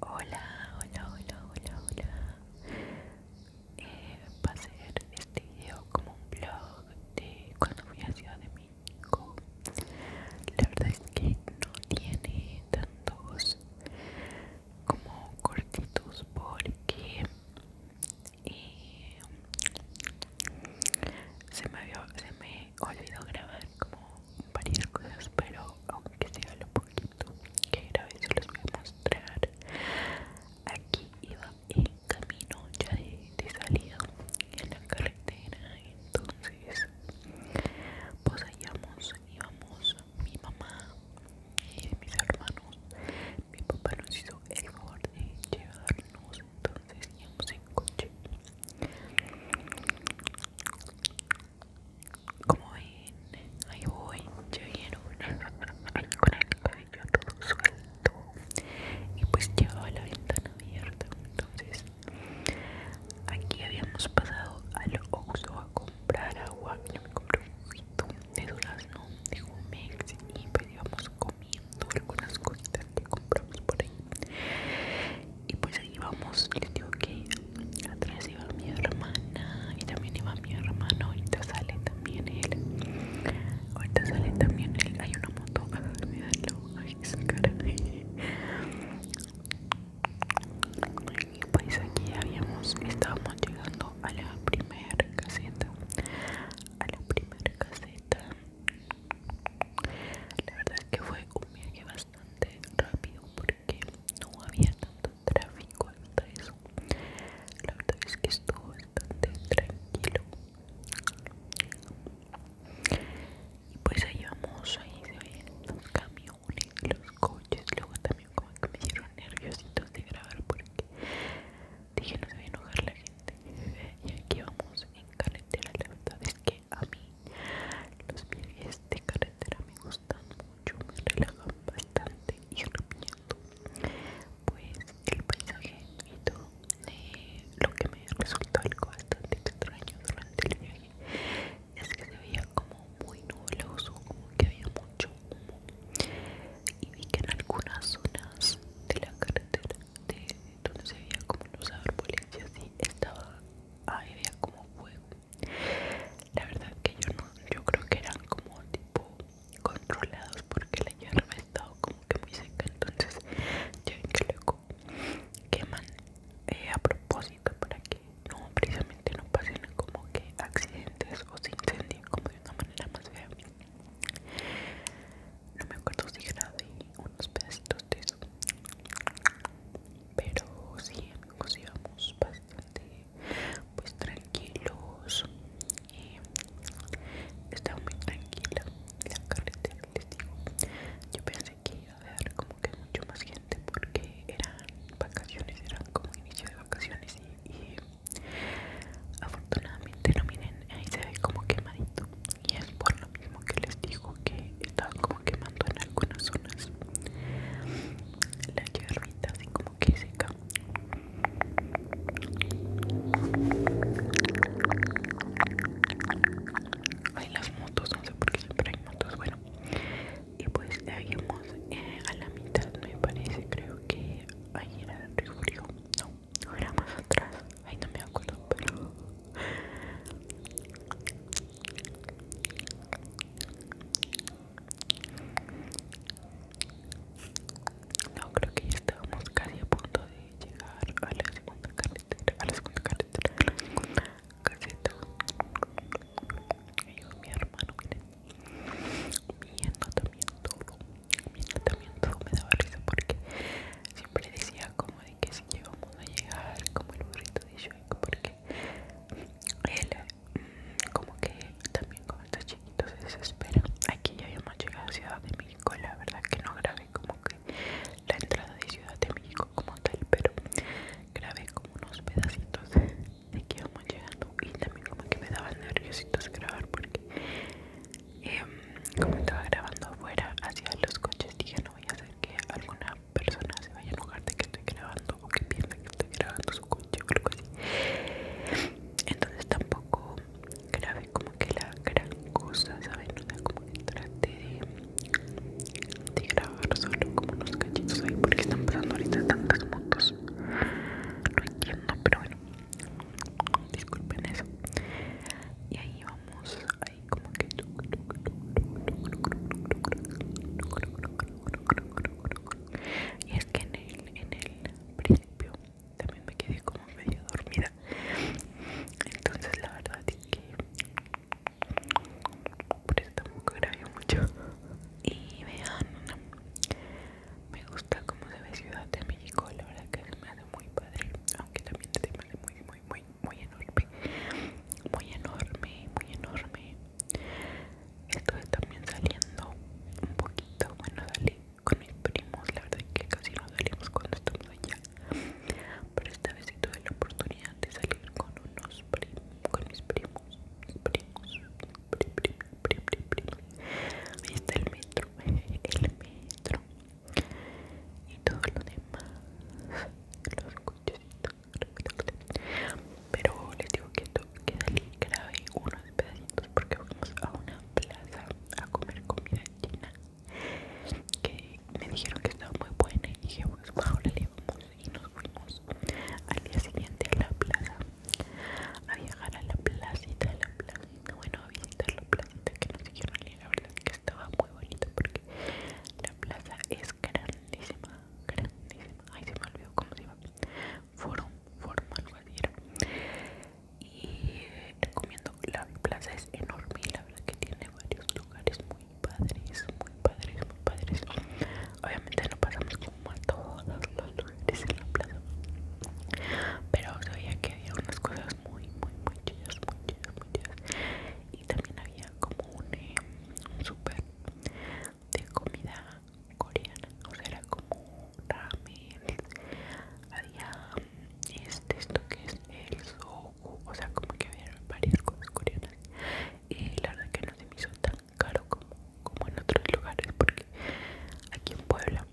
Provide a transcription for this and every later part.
Hola, hola, hola, hola, hola. Eh, va a ser este video como un vlog de cuando fui a Ciudad de México. La verdad es que no tiene tantos como cortitos porque eh, se, se me olvidó grabar como varias cosas, pero aunque sea lo poquito que grabé, se los voy a mostrar. Aquí iba en camino ya de, salida en la carretera, entonces pues hallamos, íbamos mi mamá y mis hermanos. Mi papá nos hizo el favor de llevarnos, entonces íbamos en coche. Como ven, ahí voy, ya vieron con el cabello todo suelto y pues llevaba la ventana abierta. Entonces, aquí habíamos pasado al Oxxo a comprar agua. Yo me compré un juguito de durazno de mes y pues íbamos comiendo algunas cositas que compramos por ahí y pues ahí vamos le digo que atrás iba mi hermana y también iba mi hermano ahorita sale también él ahorita sale también él hay una moto verlo ay esa cara y pues aquí habíamos estábamos llegando a la primera caseta a la primera caseta la verdad es que fue un viaje bastante bastante rápido porque no había tanto tráfico hasta eso la verdad es que estuvo bastante tranquilo y pues ahí vamos ahí se ven los camiones los coches luego también como que me dieron nerviositos de grabar porque dije no se va a enojar la gente y aquí vamos en carretera la verdad es que a mí los viajes de carretera me gustan yo me relajaba bastante y recomiendo pues el paisaje y todo eh, lo que me resultó algo bastante extraño durante el viaje es que se veía como muy nubloso, como que había mucho humo y vi que en algunas zonas de la carretera de donde se veía como los árboles y así estaba, ahí había como fuego la verdad que yo no, yo creo que eran como tipo controlados porque la hierba estaba como que muy seca, entonces ya ven que luego queman eh, a propósito para que no precisamente no pasen como que accidentes o se incendien como de una manera más fea. No me acuerdo si grabé unos pedacitos de eso. Pero sí amigos íbamos bastante pues tranquilos y estaba muy tranquila la carretera les digo yo pensé que iba a haber como que mucho más gente porque eran vacaciones eran como inicio de vacaciones y, afortunadamente no miren ahí se ve como quemadito y es por lo mismo que les digo que estaba como quemando en algunas zonas la hierbita así como que seca hay las motos no sé por qué siempre hay motos bueno y pues llegamos eh, a la mitad no me parece creo que ahí era el río no no era más atrás ahí no me acuerdo pero no, creo que ya estábamos casi a punto de llegar a la segunda carretera, a la segunda carretera, casi la mi hermano, miren, también todo, hermano también todo me daba risa porque siempre decía como de que si llegamos a llegar como el burrito de Shrek porque él mm, como que también como estos chiquitos se desespera aquí ya habíamos llegado a Ciudad de México la verdad que no grabé como que la entrada de Ciudad de México como tal pero grabé como unos pedacitos de que íbamos llegando y también como que me daban nerviositos grabar porque em, como estaba grabando afuera hacia los coches dije no voy a hacer que alguna persona se vaya a enojar de que estoy grabando o que piensa que estoy grabando su coche o algo así. Entonces tampoco grabé como que la gran cosa, ¿saben? no sea, como que trate de, de grabar solo como unos cachitos ahí porque están pasando ahorita tantas motos. No entiendo, pero bueno, disculpen eso. Y ahí vamos, ahí como que y es que en el, en el principio también me quedé como medio dormida entonces la verdad es que por eso tampoco grabé mucho y vean me gusta como se ve Ciudad de México la verdad que se me hace muy padre aunque también me hace muy muy muy muy enorme muy enorme muy enorme estoy también saliendo un poquito bueno salí con mis primos la verdad es que casi no salimos cuando estamos allá pero esta vez sí tuve la oportunidad de salir con unos primos con mis primos mis primos prim, prim, prim, prim, ahí está el metro el metro y todo lo demás los cochecitos pero les digo que esto queda grave unos pedacitos porque fuimos a una plaza a comer comida china que me dijeron que estaba muy buena y dije bueno pues, ahora le vamos y nos fuimos al día siguiente a la plaza a viajar a la placita de la plaza, bueno a visitar la placita que nos dijeron y la verdad que estaba muy bonita porque la plaza es grandísima, grandísima. Ay, se me olvidó cómo se llama. Forum, forum, algo así Y recomiendo la plaza, es enorme y la verdad que tiene varios lugares muy padres, muy padres, muy padres. Obviamente no pasamos como a todos los lugares en la plaza. Pero sabía que había unas cosas muy, muy, muy chidas, muy muy chidas. Y también había como un eh, super de comida coreana, o sea, era como ramen, había este, esto que es el soju, o sea, como que había varias cosas coreanas y la verdad que no se me hizo tan caro como, en otros lugares porque aquí en Puebla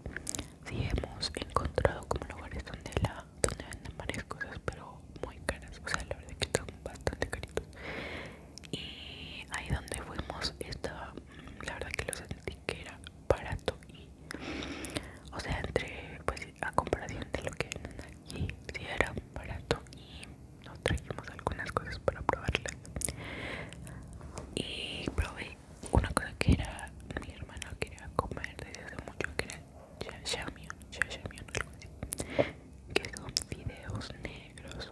sí hemos encontrado como lugares donde la donde venden varias cosas pero muy caras, o sea, la verdad que están bastante caritos y ahí donde fuimos estaba mm, la verdad que lo sentí que era barato y o sea entre pues a comparación de lo que venden aquí era barato y nos trajimos algunas cosas para probarlas y probé una cosa que era mi hermano quería comer desde hace mucho que era shashamion shashamion algo así que son videos negros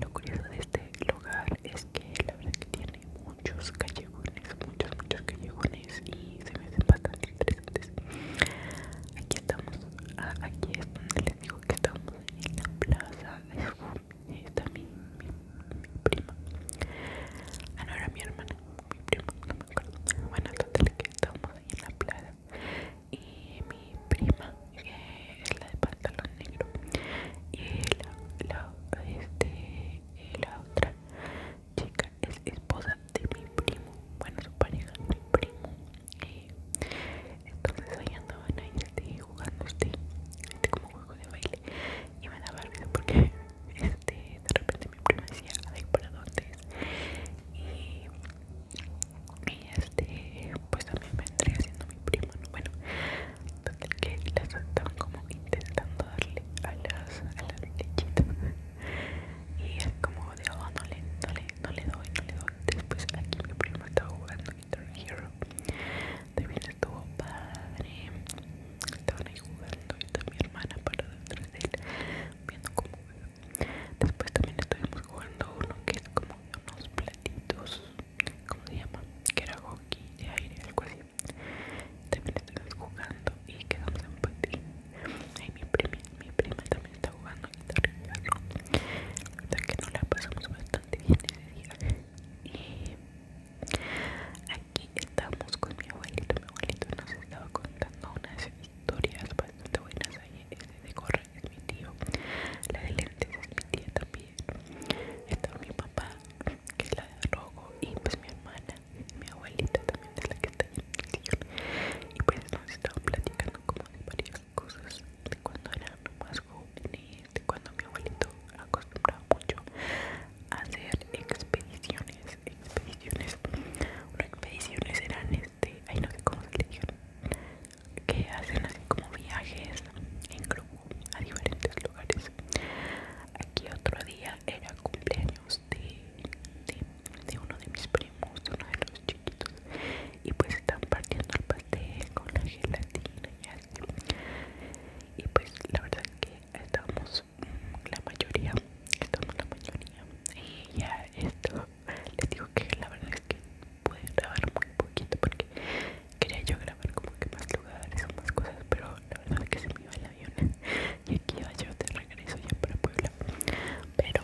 lo curioso de este lugar es que la verdad que tiene muchos callejones, muchos, muchos callejones y se me hacen bastante interesantes. Aquí estamos, aquí es donde les digo que estamos en la plaza. Está mi, mi, prima. Ah, no, era mi hermana, mi prima, no me acuerdo. Bueno, total que estamos ahí en la plaza. Y mi prima es la de pantalón negro y la, este, la otra chica es esposa de mi primo, bueno su pareja mi primo entonces ahí andaban ahí este, jugando este, este, como juego de baile y me da vergüenza porque este, de repente mi primo decía ay para dónde y este pues también vendría haciendo mi primo, Bueno, entonces que las estaban como intentando darle a las, a lechitas y es como digo, oh, no le, doy, no le doy. Después aquí mi primo estaba jugando Guitar Hero. También estuvo padre. Estaban ahí jugando y mi hermana para detrás de él viendo cómo Después también estuvimos jugando uno que es como unos platitos ¿cómo se llama? que era hockey de aire algo así también estamos jugando y quedamos en patín y mi prima, mi prima también está jugando guitarra y la que nos la pasamos bastante bien ese día y aquí estamos con mi abuelito mi abuelito nos estaba contando unas historias bastante buenas ahí ese de correr es mi tío la de lentes es mi tía también está Estaba mi papá, que es la de rojo, y pues mi hermana, mi abuelita también de la que está en el sillón. Y pues nos estaban platicando como de varias cosas de cuando eran más jóvenes, de cuando mi abuelito acostumbraba mucho a hacer expediciones, expediciones. Una expediciones eran este, ahí no sé cómo se le dijeron que hacen así como viajes en grupo a diferentes lugares. Aquí otro día era cumpleaños de, uno de mis primos, de uno de los chiquitos, y pues están partiendo el pastel con la gelatina y pues la verdad que estamos mm, la mayoría, estamos la mayoría, y ya esto les digo que la verdad es que pueden grabar muy poquito porque Quería yo grabar como que más lugares o más cosas, pero la verdad es que se me iba el avión y aquí iba yo de regreso ya para Puebla. Pero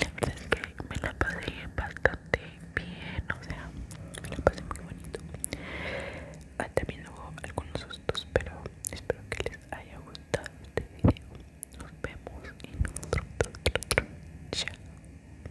la verdad es que me la pasé bastante bien, o sea, me la pasé muy bonito. Ah, también hubo algunos sustos, pero espero que les haya gustado este video. Nos vemos en otro, otro, otro.